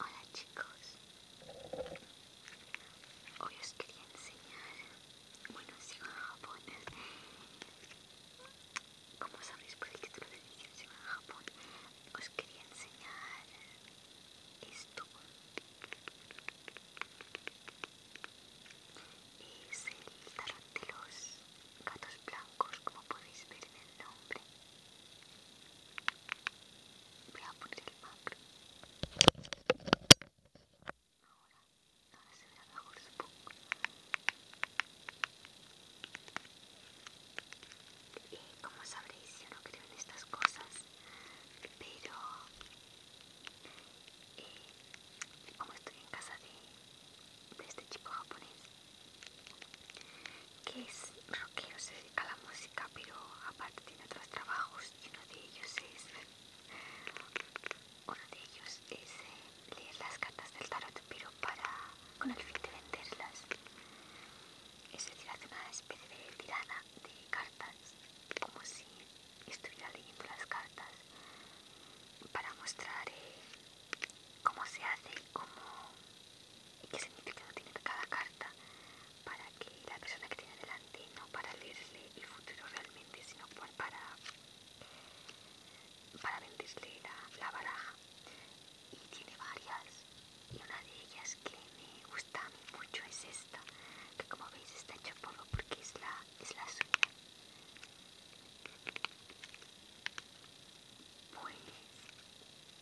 Hola chicos, hoy os quería enseñar, bueno sigo en Japón, como sabéis por el título del vídeo sigo en Japón, os quería enseñar esto, es el tarot de los gatos blancos como podéis ver en el nombre Voy a poner el macro. Ahora, ahora se verá mejor supongo. Y como sabréis, yo no creo en estas cosas, pero eh, como estoy en casa de este chico japonés, que es roqueo, se dedica a la música, pero aparte tiene otros trabajos y uno de ellos es, uno de ellos es eh, leer las cartas del tarot, pero para, con el fin de venderlas. Es decir, hace una especie de tirana de cartas, como si estuviera leyendo las cartas, para mostrar eh, cómo se hace y cómo y qué significa tiene cada carta para que la persona que tiene delante, no para leerle el futuro realmente, sino para, para venderle la, baraja. Y tiene varias, y una de ellas que me gusta mucho es esta, que como veis está hecha polvo porque es la, es la suya. Pues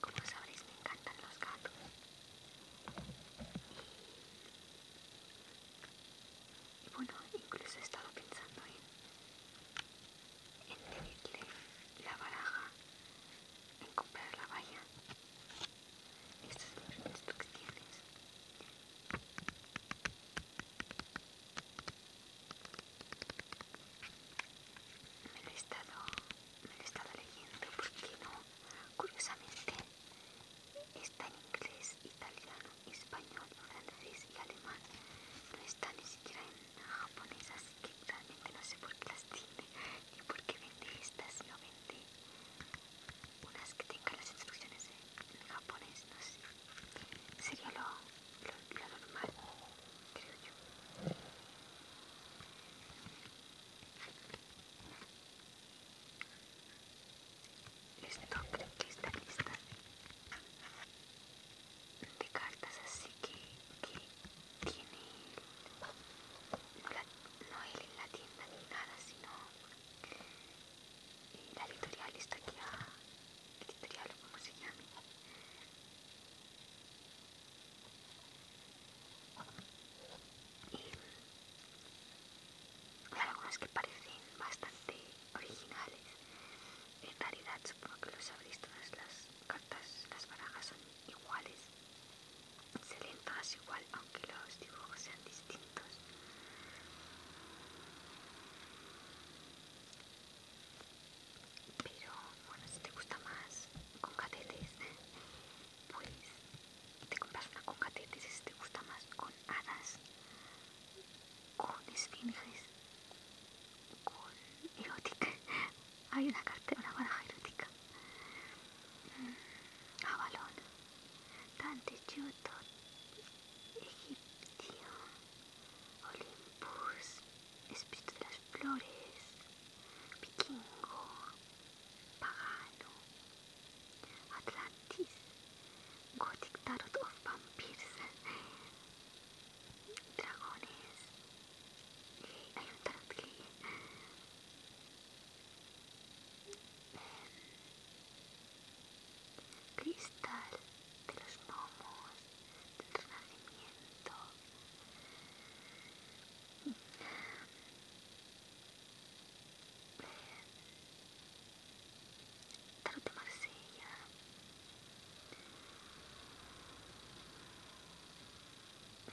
Como sabréis, me encantan los gatos. Y, bueno, incluso he estado pensando en pedirle la baraja, en comprar la valla estas son las instrucciones. Me lo he estado, me lo he estado leyendo porque no, curiosamente está en inglés, italiano, español, holandés y alemán. No está ni siquiera en japonés, así que realmente no sé por qué las tiene ni por qué vende estas, no vende unas que tengan las instrucciones en, japonés, no sé. Sería lo, lo, normal, creo yo. Esto creo que está lista de cartas así que, que tiene no él en la tienda ni nada, sino la editorial está aquí, ah, editorial o como se llame. hay algunas que parecen bastante originales. En realidad supongo que lo sabréis, todas las cartas, las barajas son iguales se le todas igual aunque los dibujos sean distintos pero bueno si te gusta más con catetes pues te compras una con catetes si te gusta más con hadas con esfinges con erótica hay una carta una baraja erótica Avalon, Dante Judo, Egipcio, Olympus, Espíritu de las Flores, Vikingo, Pagano, Atlantis, Gothic Tarot of Vampires, Dragones, eh, hay un tarot que cristal de los gnomos del renacimiento tarot de Marsella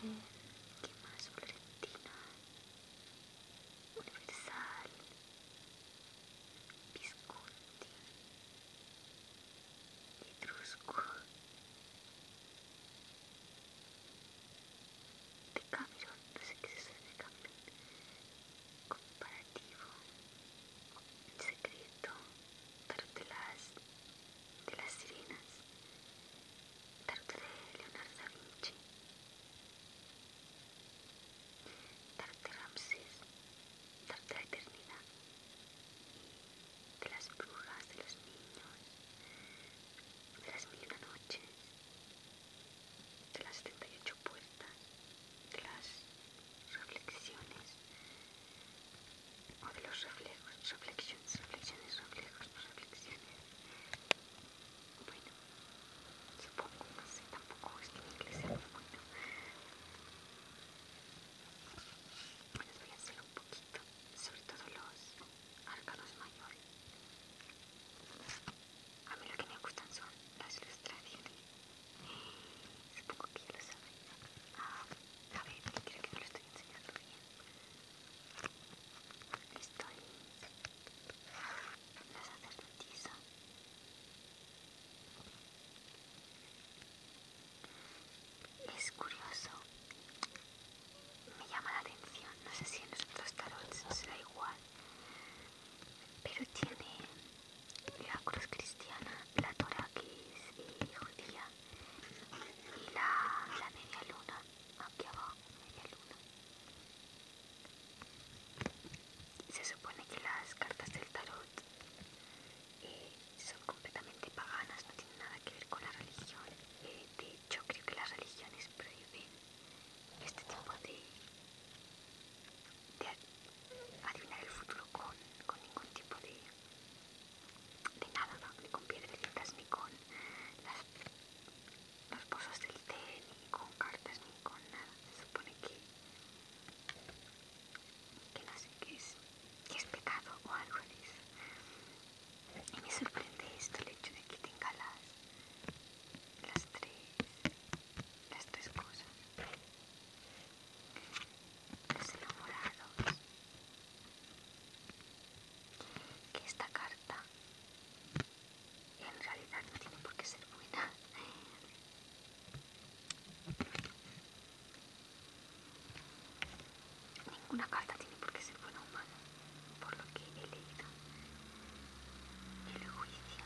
¿Qué más? Universal, Visconti, Etrusco, Decameron, no sé qué es eso de Decameron, Comparativo, Secreto, pero de las Sirenas, darte de Leonardo da Vinci, darte de Ramsés, de Eternidad, de las brujas, de los niños, de las mil noches, de las 78 puertas, de las reflexiones, o de los reflejos, reflexiones, reflexiones, reflejos, reflexiones. Bueno, supongo, no sé, tampoco es que me inglés sea muy bueno. Les voy a hacer un poquito, sobre todo los arcanos mayores. A mí lo que me gustan son las ilustraciones. Supongo que ya lo sabéis ah, a ver, creo que no lo estoy enseñando bien. Estoy en la Es curioso, me llama la atención, no sé si en los otros tarots será igual, pero tiene la cruz cristiana, la torakis y eh, judía y la, la media luna aquí abajo, media luna. Se supone que las cartas del tarot eh, son completamente paganas, no tienen nada que ver con la religión. Eh, de hecho, creo que las religiones prohíben este tipo de, de adivinar el futuro con ningún tipo de, de nada, ¿no? ni con piedrecitas, ni con los pozos del té, ni con cartas, ni con nada. Se supone que, que no sé qué es, que es pecado o algo de eso. Y me sorprende esto, el hecho de que tenga las, las, tres, las tres cosas. Los enamorados, que esta carta en realidad no tiene por qué ser buena. Ninguna carta tiene por qué ser buena o mala, por lo que he leído. El juicio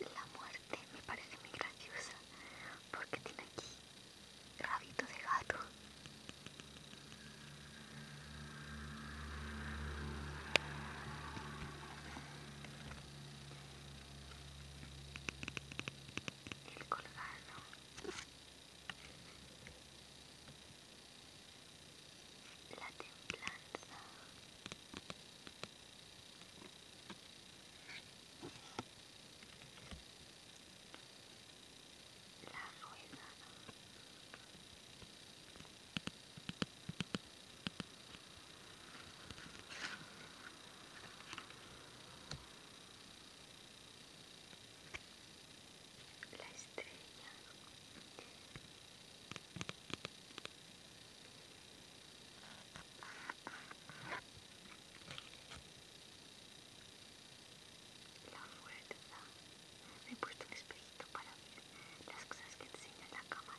La muerte me parece muy graciosa porque tiene aquí rabito de gato el colgado la templanza la rueda la estrella la fuerza me he puesto un espejito para ver las cosas que enseña la cámara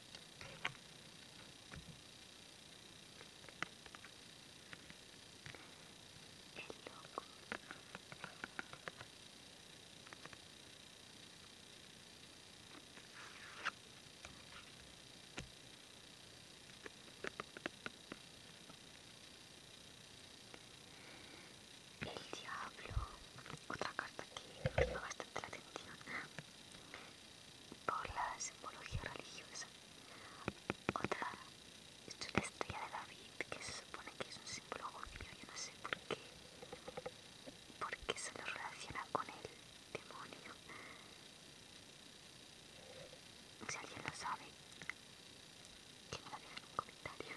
loco. El diablo, otra carta que me llama bastante la atención por la simbología religiosa. Otra esto es la estrella de David, que se supone que es un símbolo judío, yo no sé por qué, Por qué se lo relaciona con el demonio. Si alguien lo sabe, que me lo deje en un comentario.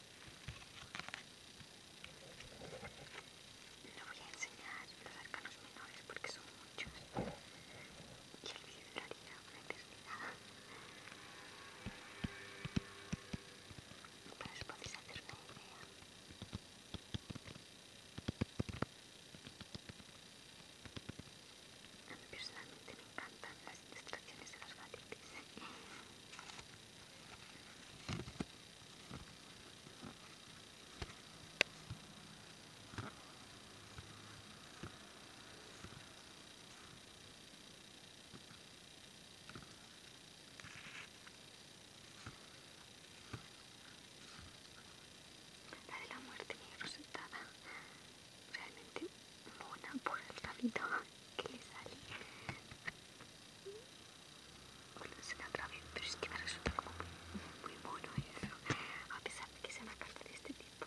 no voy a enseñar los arcanos menores porque son muchos y el vídeo duraría una eternidad. Pero os podéis hacer una idea. A mí personalmente me encantan las las estaciones de las gatitos. La de la muerte resultada realmente mona por el rabito que le sale. Bueno, se la otra vez, pero es que me resulta como muy, bueno mono eso, a pesar de que sea una carta de este tipo.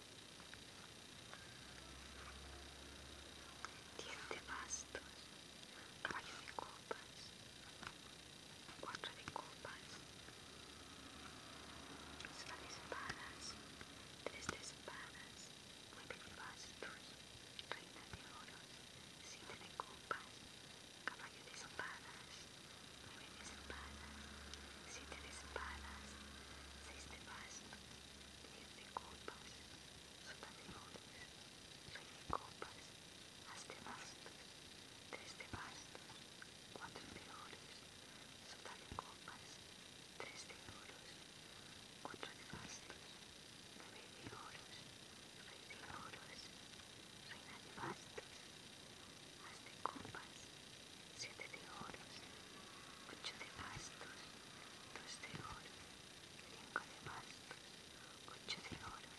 10 de bastos, caballo de copas, 4 de copas, Siete de espadas, 3 de espadas, 9 de bastos, reina de oros, 7 de copas, caballo de espadas, 9 de espadas, 7 de espadas, 6 de bastos de copas, sota de flores, de copas, haz de bastos, tres de bastos, cuatro de oros, sota de copas, tres de oros, cuatro de bastos, nueve de oros, rey de oros, reina de bastos, haz de copas, siete de oros, ocho de bastos, dos de oros, cinco de bastos, ocho de oros.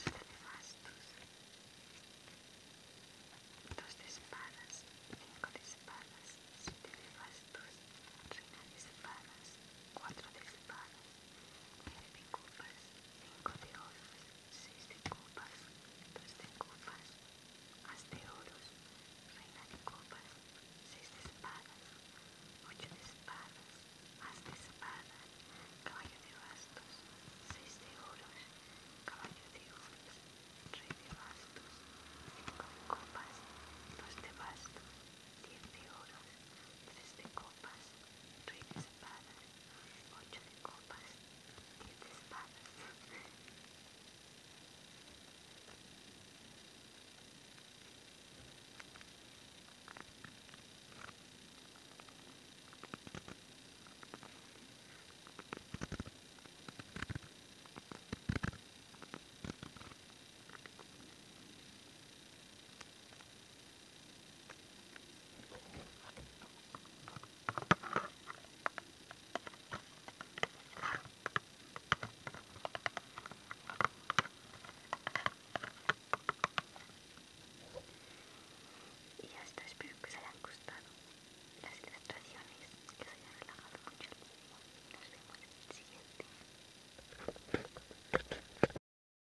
Siete de bastos, dos de espadas, cinco de espadas, siete de bastos, reina de espadas, cuatro de espadas, nueve de copas, cinco de oros, 6 pues de copas, 2 de copas, as de oros, reina de copas, 6 de espadas, 8 de espadas, as de espadas, caballo de bastos, 6 de oros, caballo de oros, rey de bastos, 5 de copas, 2 de bastos, 10 de oros, 3 de copas, rey de espadas, balance, ocho de copas, diez de espadas. Y ya está, espero que os hayan gustado las ilustraciones, que os hayan relajado mucho. el Nos vemos en el siguiente.